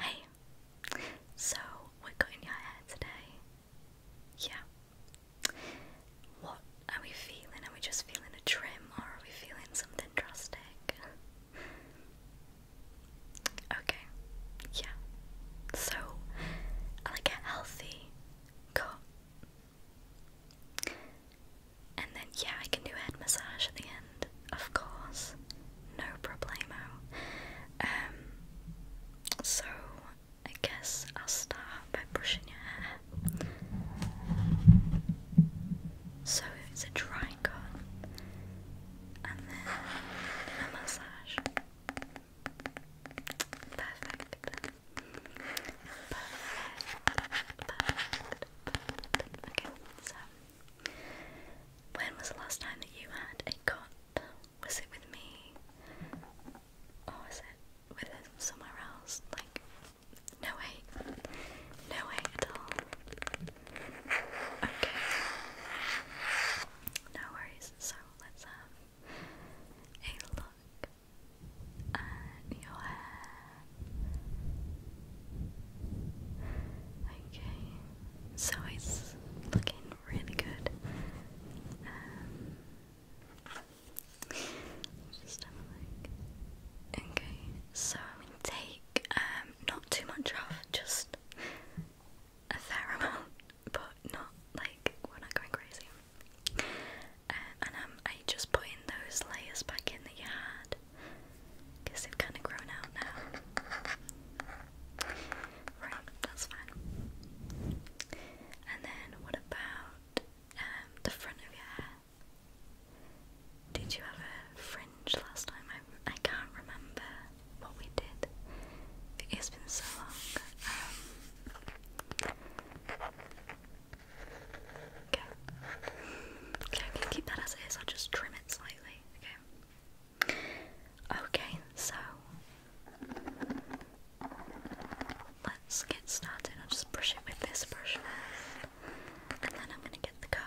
Hey, so what got in your hair today? Yeah. What are we feeling? Are we just feeling a trim or are we feeling something drastic? Okay, yeah. So, like a healthy cut. And then, yeah, I can do head massage at the end of course, no problemo. Um, so I guess I'll start by brushing your hair. So it's a dry cut and then a massage. Perfect. Perfect. Perfect. Perfect. Okay, so when was the last time that you had a cot? Was it with me? Or was it with somewhere else? Like, no way. No way at all. Okay. No worries. So, let's have a look at your hair. Okay so it's looking really good. Um, just have Okay, so I'm gonna take um, not too much off, just a fair amount, but not like we're not going crazy. Uh, and um, I just putting those layers back in the yard. I Guess they've kind of grown out now. Right, that's fine. And then what about um, the front of your hair? Did you have a fringe last time? I, I can't remember what we did. It's been so long. Um, okay. Okay, keep that as it is. I'll just trim it slightly. Okay. Okay, so let's get started. I'll just brush it with this brush first, and then I'm going to get the comb.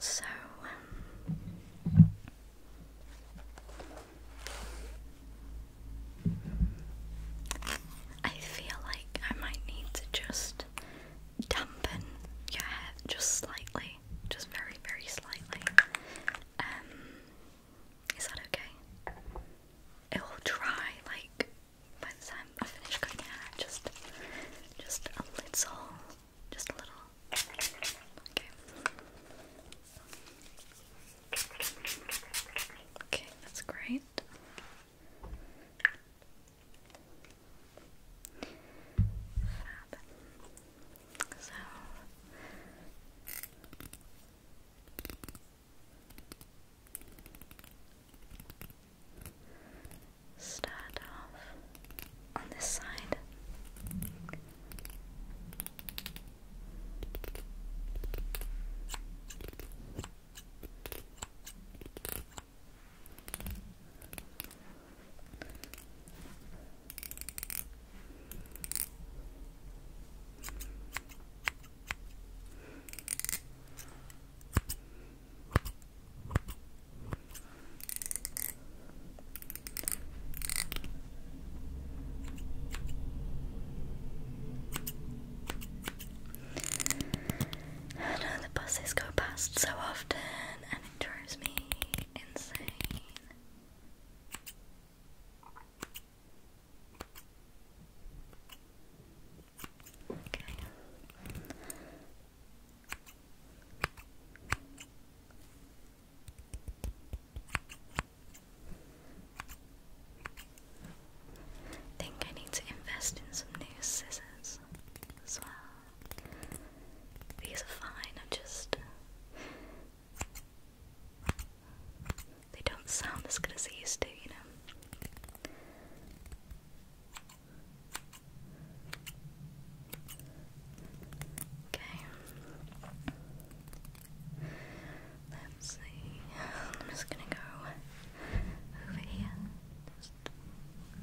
so, I feel like I might need to just dampen your hair just slightly, just very, very slightly. Um, is that okay? It will dry like by the time I finish cooking it, just, just a little, just a little. Okay. Okay, that's great. Fab. So. Start off on this side. I know the buses go past so often and it drives me insane. Think I need to invest in some new scissors as well. These are fine, I just they don't sound as good used to, you know. Okay. Let's see. I'm just gonna go over here.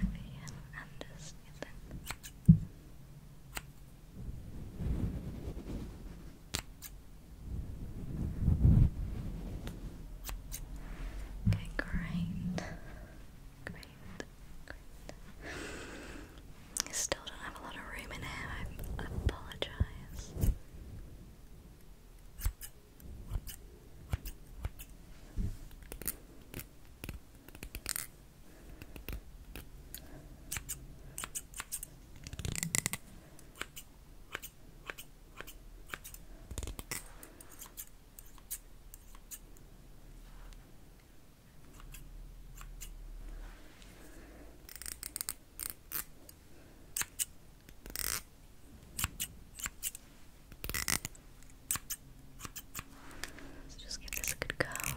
over here and just Okay, great. Great. Great. I still don't have a lot of room in here, I apologize. So just give this a good comb.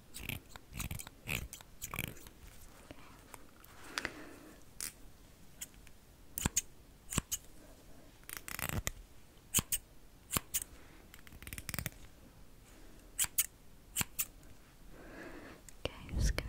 Okay, I'm just gonna just trim. Okay.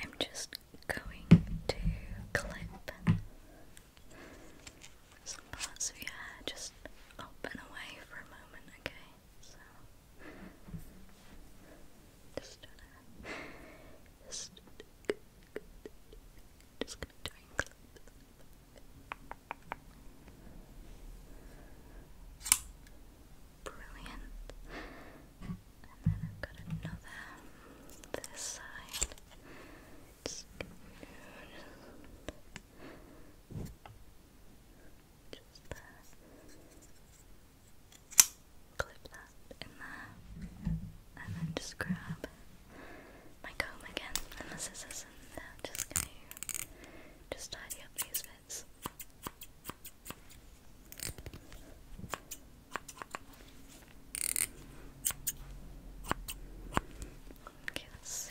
I'm just going to clip some parts of your hair just up away for a moment, okay? So just gonna just just gonna try and Brilliant. And then I've got another this side. Just Clip that in there. And then just grab my comb again and the scissors and just just tidy up these bits. Okay, let see.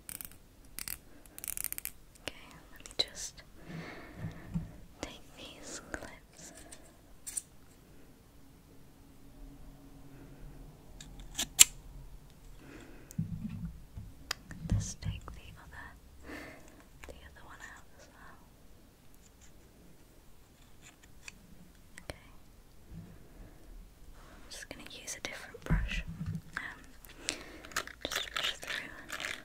Okay, let me just take these clips. Let's take the other the other one out as well. Okay. I'm just gonna use a different brush. Um just brush through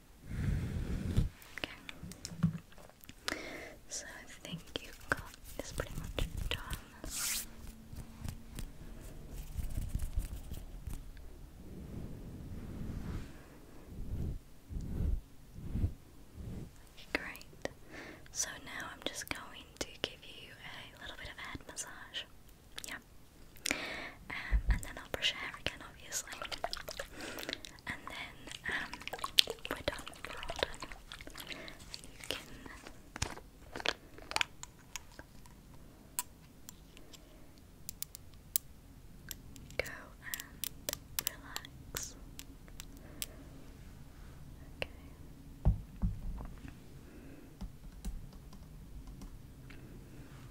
So I think you've got this pretty much done. Great. So now I'm just going to give you a little bit of head massage. Yeah. Um, and then I'll brush your hair again, obviously. And then um, we're done You can. Go and relax. Okay.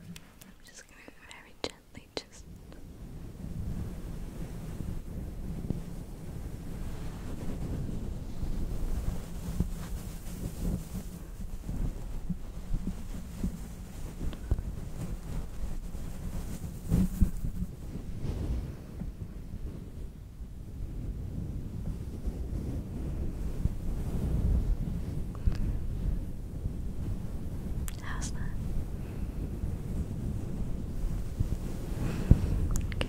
I'm just going very gently just How's that? Okay.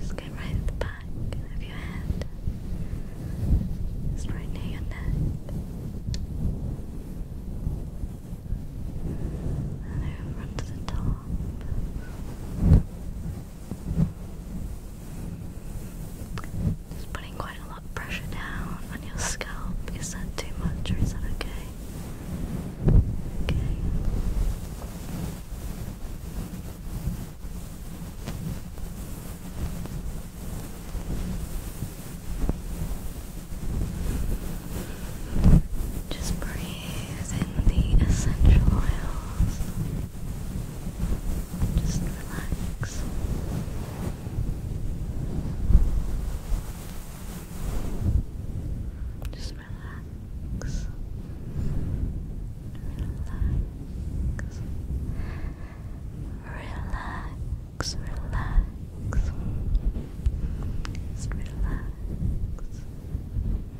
Just get right at the back of your head. It's right near your neck. And over onto the top. Just putting quite a lot pressure down on your scalp. Is that too much or is that okay? Okay. Just breathe in the essential oils. Just relax. Just relax. Relax. Relax, relax. Just Relax.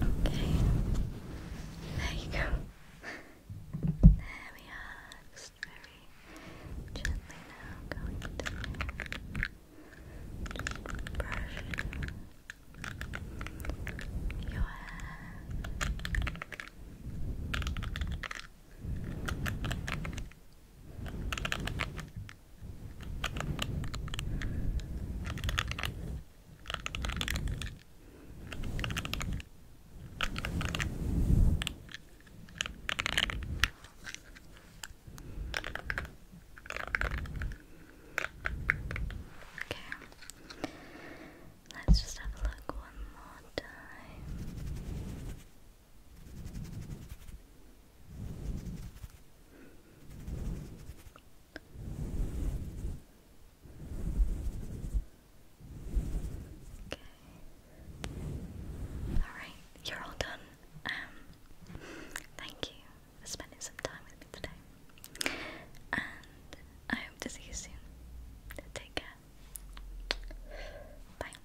Okay. There you go. There we are. Just very gently now going to just brush your hair. Okay. Let's just have a look one more time. Okay. Alright, you're all done. Um thank you for spending some time with me today. And I hope to see you soon. Take care. Bye.